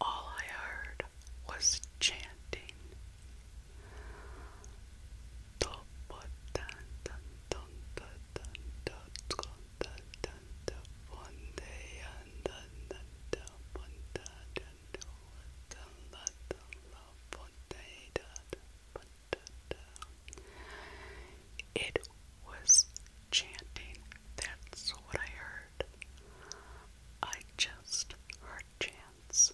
All I heard was chanting. It was chanting. That's what I heard. I just heard chants.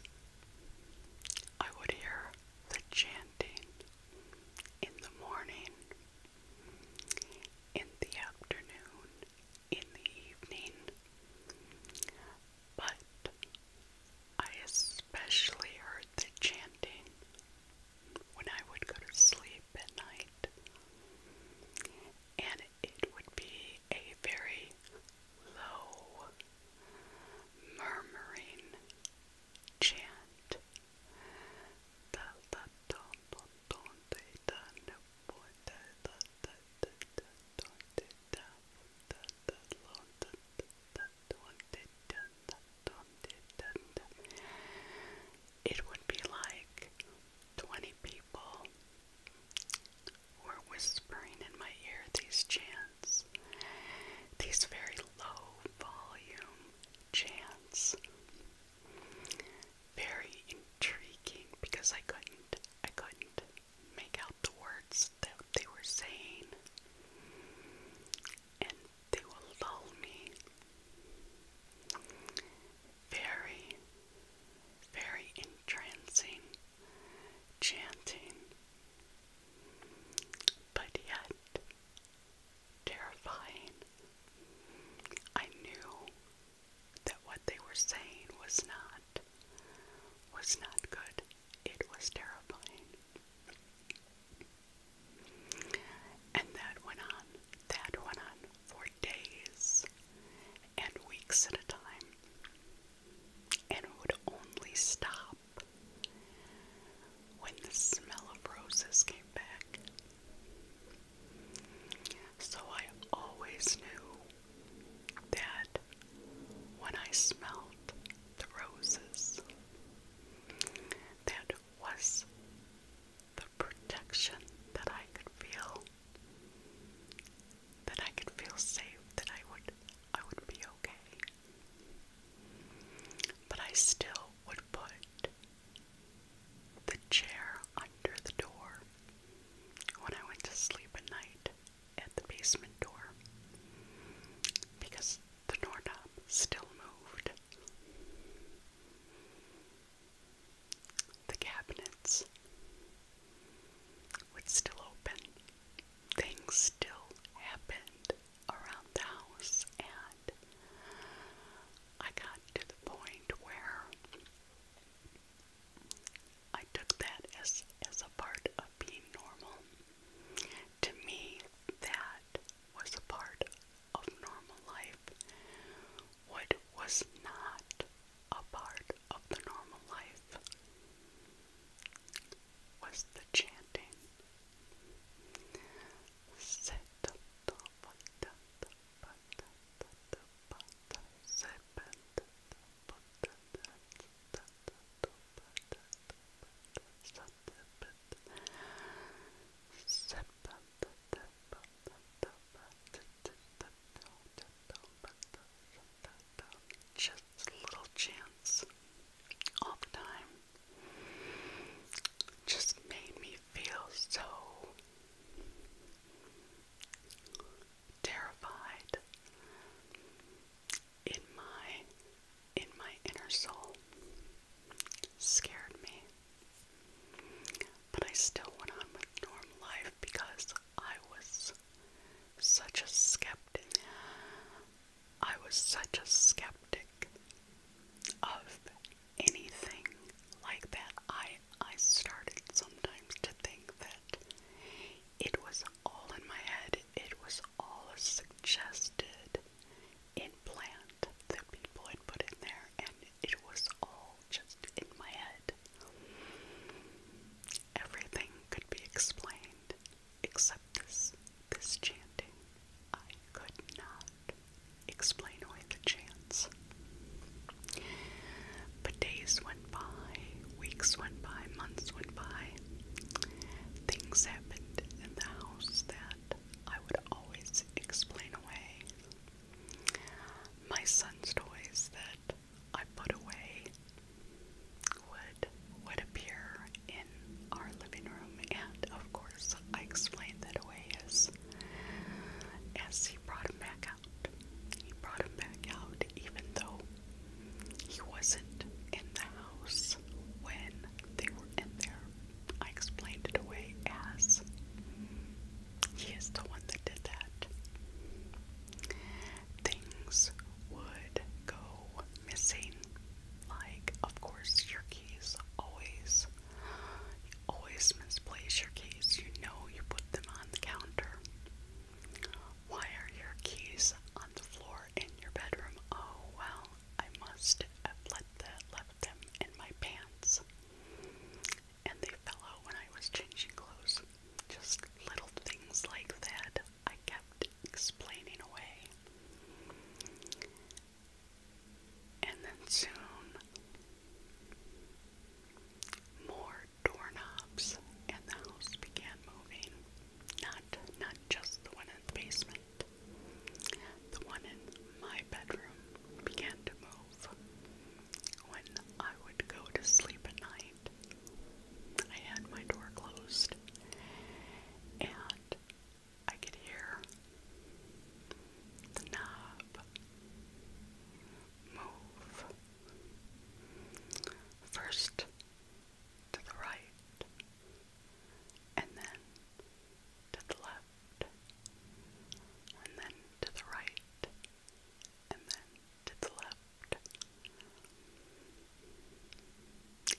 I would hear the chanting in the morning, in the afternoon, in the evening. But I especially heard the chanting when I would go to sleep at night. And it would be a very low, murmuring chant it would be like 20 people were whispering in my ear these chants, these very low volume chants. Very intriguing because I couldn't, I couldn't make out the words that they were saying. They will lull me very, very entrancing, chanting, but yet terrifying. I knew that what they were saying was not was not good. It was terrifying. And that went on, that went on for days and weeks at a time. And would only stop when the smell of roses came back. So I always knew that when I smelled the roses, that was the protection that I could feel, that I could feel safe, that I would I would be okay. But I still would put the chair under the door when I went to sleep at night at the basement door because the doorknob still moved. The cabinets would still open. Things still happened around the house, and I got to the point where I took that as as a part of being normal. To me, that was a part of normal life, what was not a part of the normal life was the chanting. Just little chants all just made me feel so terrified in my in my inner soul scared me. But I still went on with normal life because I was such a skeptic. I was such a skeptic of anything like that. I I started sometimes to think that it was all in my head. It was all suggested implant that people had put in there, and it was all just in my head. Everything could be explained except this this chanting. I could not explain away the chants. But days went by, weeks went by, months went by. Things happened in the house that I would always explain away. My son's toys that I put away would would appear in our living room, and of course, I explained that away as as he brought him back out. He brought him back out, even though he wasn't in the house when they were in there. I explained it away as he is the one that did that. Things would go missing. Like, of course, your keys always, always misplace your keys. You know you put them on the counter. Why are your keys on the floor in your bedroom? Oh, well, I must have let the left them in my pants. And they fell out when I was changing clothes. Just little things like that I kept explaining away. And then soon, more doorknobs and the house began moving. Not not just the one in the basement. The one in my bedroom began to move. When I would go to sleep at night, I had my door closed and I could hear the knob move. First to the right and then to the left and then to the right, and then to the left.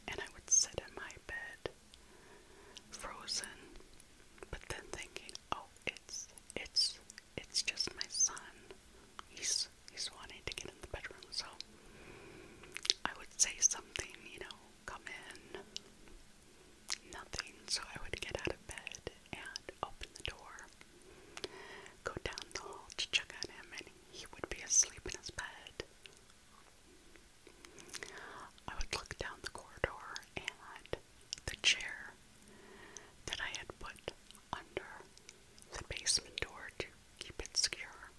And I would sit in my bed, frozen, but then thinking, oh, it's it's it's just my son. He's he's wanting to get in the bedroom, so I would say something, you know, come in, Nothing, so I would get out of bed and open the door, go down the hall to check on him, and he would be asleep in his bed. I would look down the corridor, and the chair that I had put under the basement door to keep it secure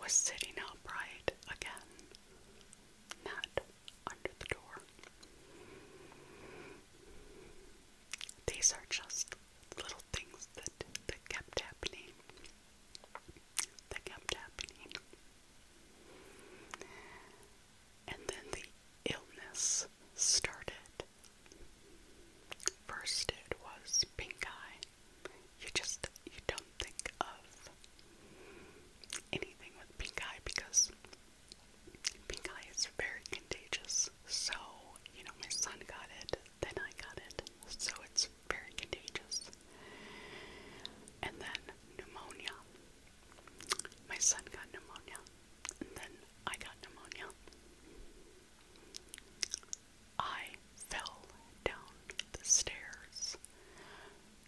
was sitting upright again, not under the door. These are just little things that, that kept happening. That kept happening. And then the illness started. First, it was pink eye. You just you don't think of anything with pink eye because Pink eye is very contagious. So, you know, my son got it, then I got it. So it's very contagious. And then pneumonia. My son got pneumonia. then I got pneumonia. I fell down the stairs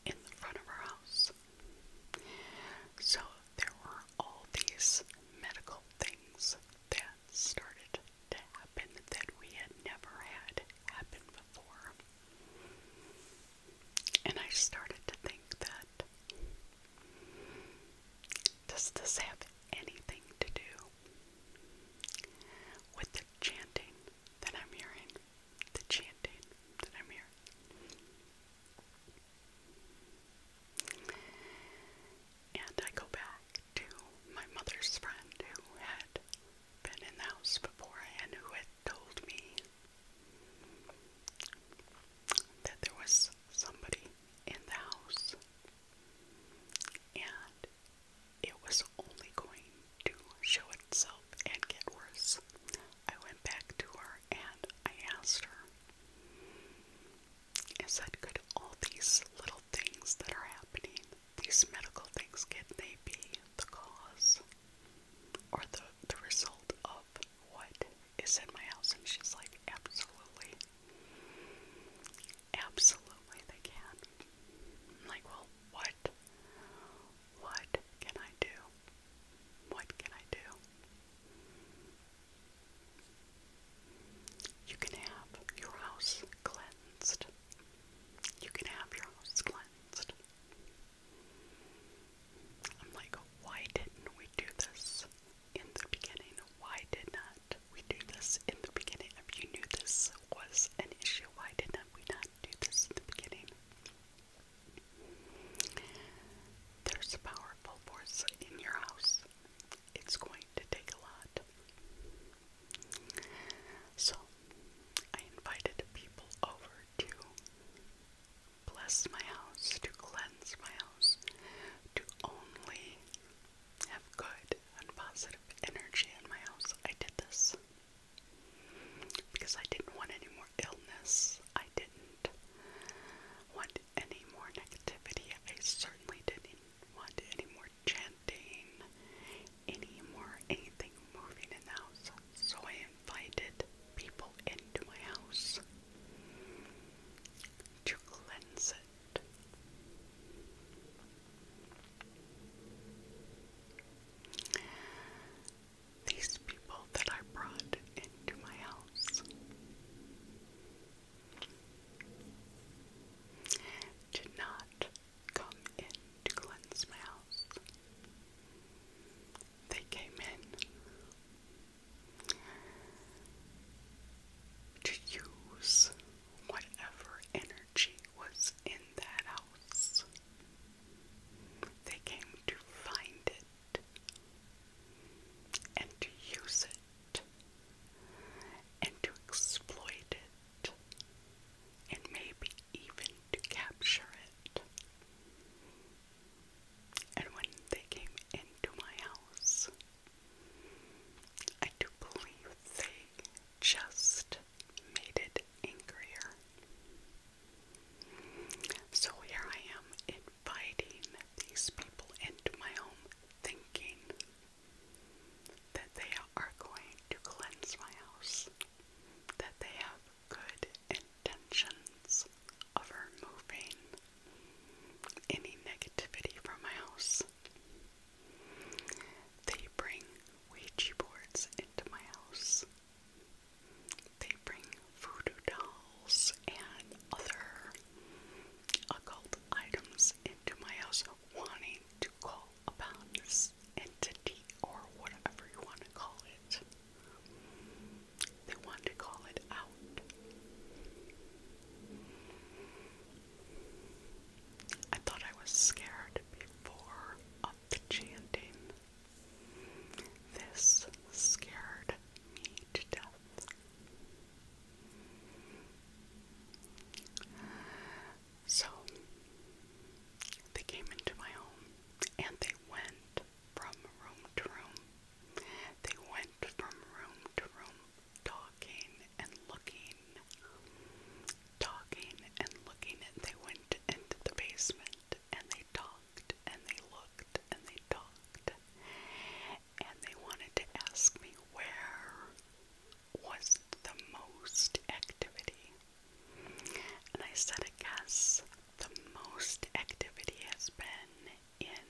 in the front of her house. So there were all these medical things that started to happen that we had never had happen before. And I started to think that does this have anything to do with the chanting that I'm hearing? the chanting that I'm here, And I go back to my mother's friend who had been in the house before and who had told me that there was somebody in the house and it was only going to show itself and get worse I went back to her and I asked her, I said, could all these little things that are happening, these medical things, can they be the cause or the, the result of what is in my house? And she's like, absolutely. Absolutely they can. I'm like, well, what? What can I do? What can I do? You can have your house cleansed. You can have your house cleansed. I'm like, why didn't we do this in the beginning? Why did not we do this in the beginning? If you knew this was an issue, why did not we not do this in the beginning? There's a powerful force in your house. It's going to take a lot. So, I invited people over to bless my house, to cleanse my house, to only have good and positive energy in my house. I did this because I didn't want any more illness. I didn't want any more negativity. I certainly didn't want any more chanting, any more anything moving in the house. So I invited people into my house to cleanse it these people that I brought into my house. Did not come in to house. They came in to use whatever energy was in that house. They came to find it and to use it and to exploit it and maybe even to capture it. And when they came into my house, I do believe they just made it angrier. So here I am inviting these people into my home, thinking that they are going to cleanse my house, that they have good intentions of removing any negativity from my house. They bring Ouija boards into my house. They bring voodoo dolls and other occult items into my house, wanting to call upon this entity or whatever you want to call it. They want to call it out. I thought I was scared before of chanting. This scared me to death. So they came into my home and they went from room to room. They went from room to room, talking and looking, talking and looking, and they went into the basement and they talked and they looked and they talked and they wanted to ask me where was the most activity. And I said, I guess the most activity has been in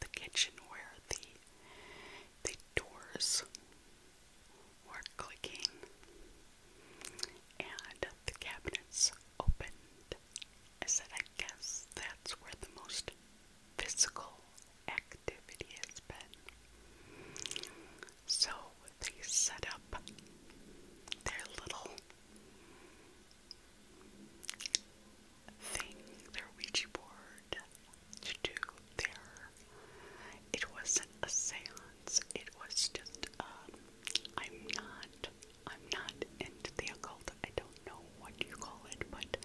the kitchen where the the doors were clicking and the cabinets opened I said, I guess that's where the most physical activity has been. So they set up their little thing, their Ouija board, to do their. It wasn't a seance, it was just, um, I'm not I'm not into the occult. I don't know what you call it, but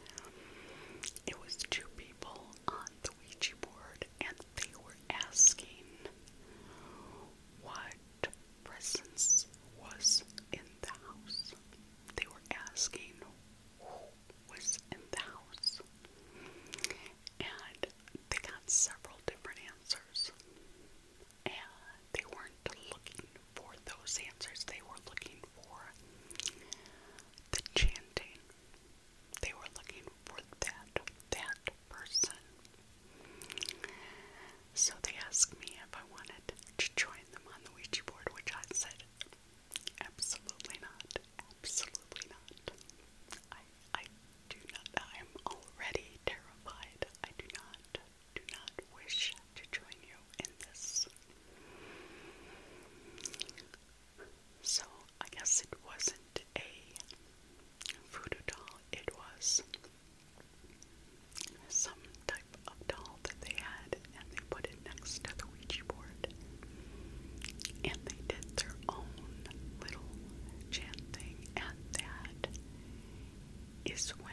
it was two people on the Ouija board and they were asking what presence was in the house. They were asking who was in the house. And they got several different answers and they weren't looking for those answers. They were looking for the chanting. They were looking for that that person. So they asked me if I wanted to join them on the Ouija board, which I said absolutely not. Absolutely not. I I do not I am already terrified. I do not do not wish to join you in this. So I guess it wasn't a voodoo doll, it was some type of doll that they had and they put it next to the Ouija board. And they did their own little chanting, and that is when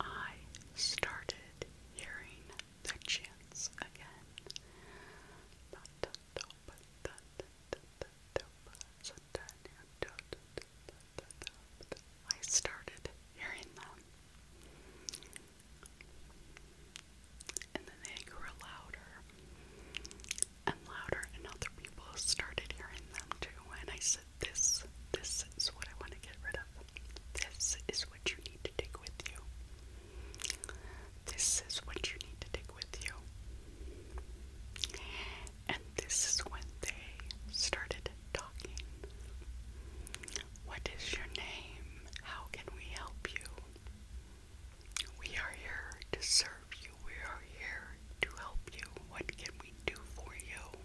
I started hearing the chants again. I started hearing them. And then they grew louder and louder, and other people started hearing them too. And I said, this this is what I want to get rid of. This is what you need to take with you. This is what you need to take with you. And this is when they started talking. What is your name? How can we help you? We are here to serve you. We are here to help you. What can we do for you?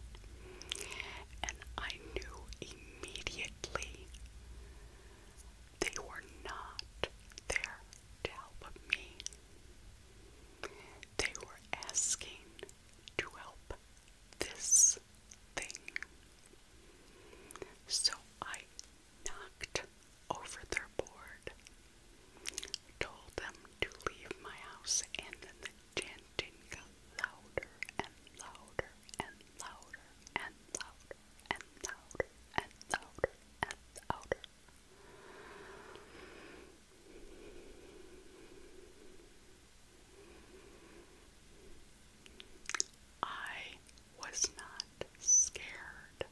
And I knew immediately they were not there to help me. They were asking to help this thing. So I knocked over their board, told them to leave my house, and then the chanting got louder and louder and louder and louder and louder and louder and louder. I was not scared.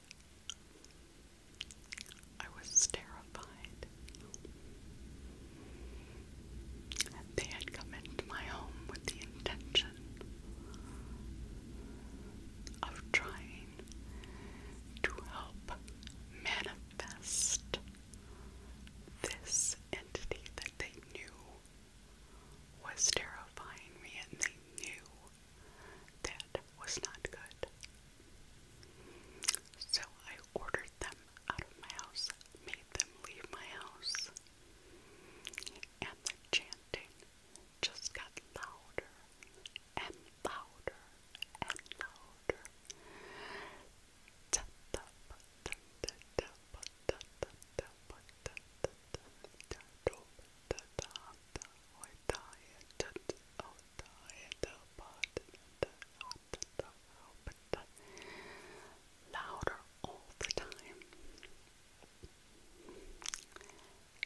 I was terrified. They had come into my home with the intention of trying to help manifest this entity that they knew was terrifying me and they knew that was not good. So I ordered them them out of my house, made them leave my house. And the chanting just got louder and louder and louder louder all the time.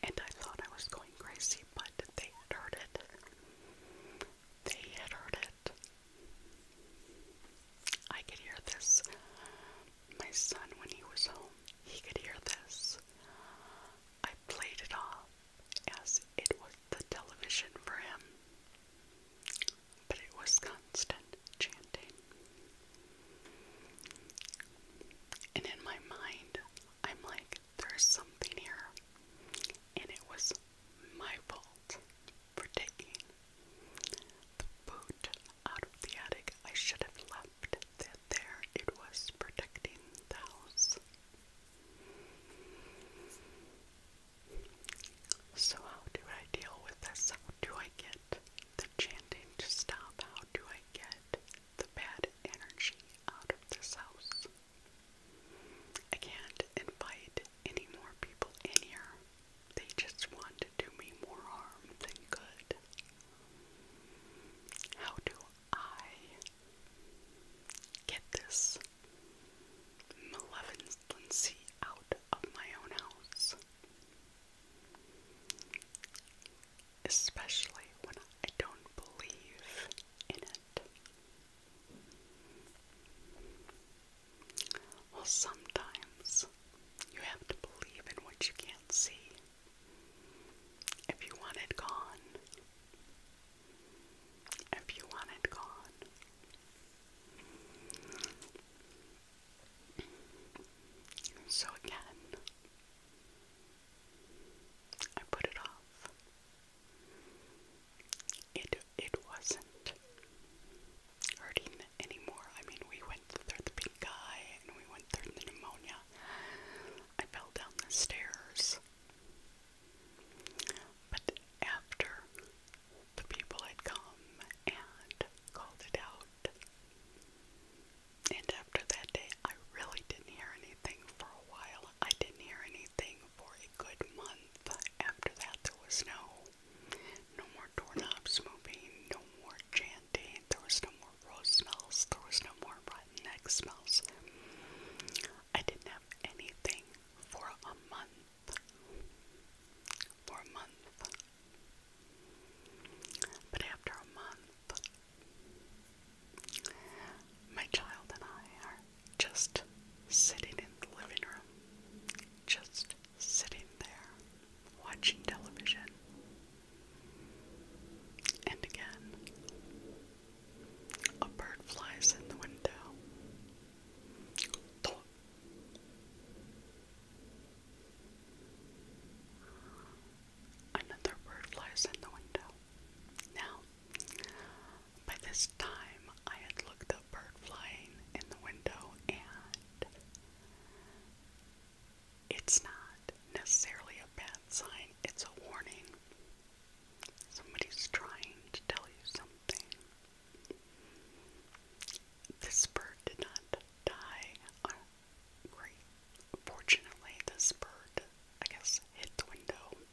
And I thought I was going crazy, but they heard it. They heard it. I could hear this. My son, when he was home, he could hear this. I played it all as it was the television for him, but it was constant chanting. And in my mind, I'm like, there's something here, and it was my fault for taking the boot out of the attic. I should have left that there. It was protecting the house. So, how do I deal with this? How do I get the chanting to stop? How do I get the bad energy out of this house? I can't invite any more people in here. They just want to do me more harm than good. How do I get this malevolency out of my own house, especially when I don't believe in it. Well, sometimes you have to believe in what you can't see. If you want it gone, if you want it So again, I put it off. It it wasn't hurting anymore. I mean, we went through the pink eye and we went through the pneumonia. I fell down the stairs. But after the people had come and called it out, and after that day, I really didn't hear anything for a while. I didn't hear anything for a good month. After that, there was no, no more doorknobs moving, no more chanting. There was no more rose smells. There was no more rotten egg smells. I didn't have anything for a month. For a month. But after a month, my child and I are just sitting in the living room, just sitting there watching television. And again, a bird flies in the window. Another bird flies in the window. Now, by this time, I had looked up bird flying in the window, and it's not necessarily a bad sign, it's a warning. Somebody's trying to tell you something. This bird did not die. Oh, Fortunately, this bird, I guess, hit the window,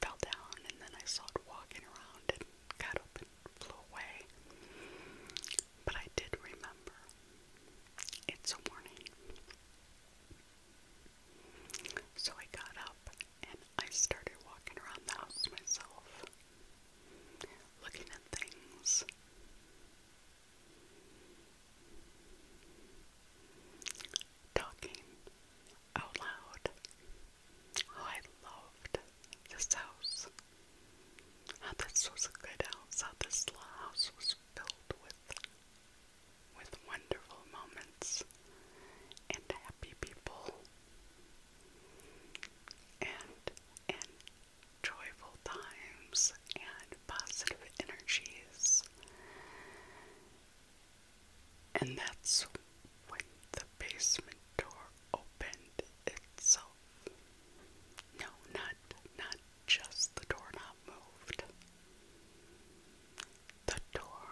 fell down, and then I saw it walking around and got up and flew away. But I did remember it's a warning. So I got up and I started walking around the house myself, looking at things. Talking out loud. Oh, I loved this house. How this was a good house. How this little house was filled with with wonderful moments and happy people and and joyful times and positive energies. And that's when the basement door opened itself. No, not not just the doorknob moved. The door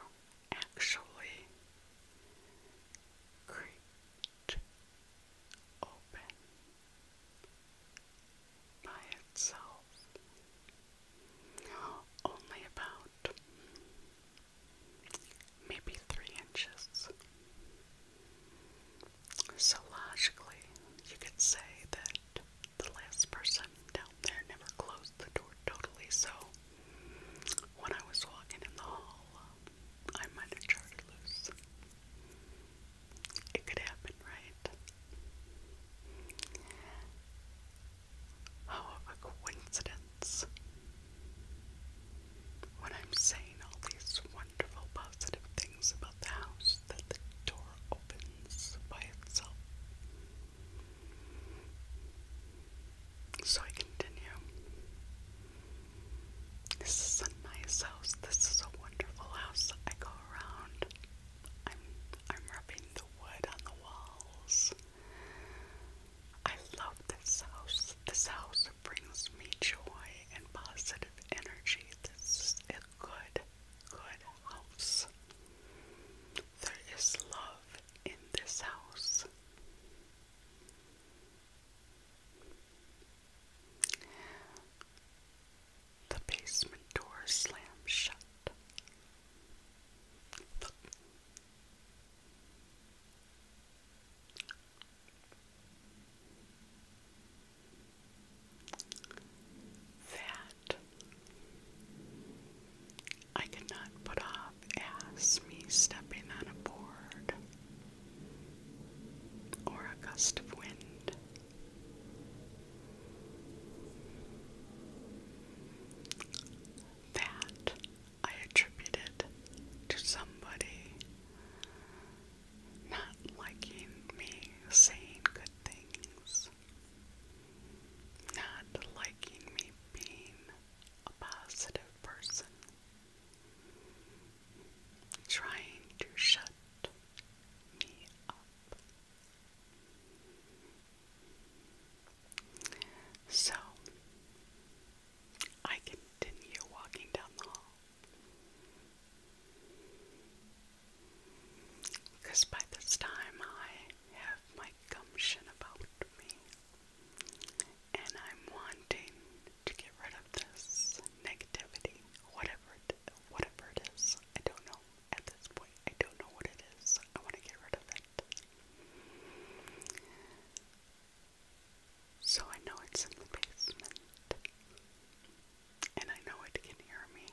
actually creaked open by itself only about maybe three inches. So logically, you could say that the last person down there never closed the door totally, so when I was walking in the hall, I might have jarred loose. It could happen, right? How of a coincidence. When I'm saying all these wonderful positive things about the house, that the door opens by itself. So I continue. This is a house. This is a wonderful house. I go around. I'm I'm rubbing the wood on the walls. I love this house. This house brings me joy and positive energy. This is a good, good house. There is love in this house. The basement door slams shut. That I could not put off as me stepping on a board or a gust of wind. That I attributed to somebody not liking me saying good things, not liking me being a positive person trying to shut me up. So I continue walking down the hall. Because by this time I have my gumption about me. And I'm wanting to get rid of this negativity, whatever it, whatever it is. I don't know at this point. I don't know what it is. I want to get rid of it. So I know it's in the basement. And I know it can hear me.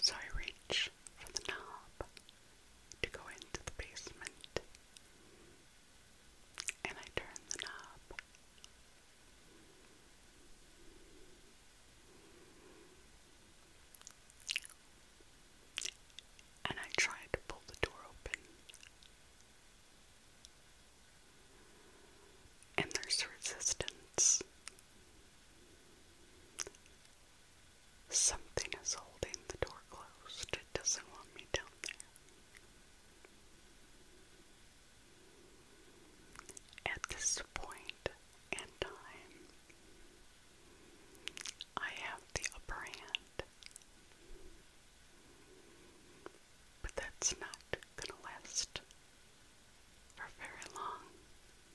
So I reach for the knob to go into the basement. And I turn the knob. And I tried to pull the door open. And there's resistance. Something is holding the door closed. It doesn't want me down there. At this point time, I have the upper hand. But that's not going to last for very long.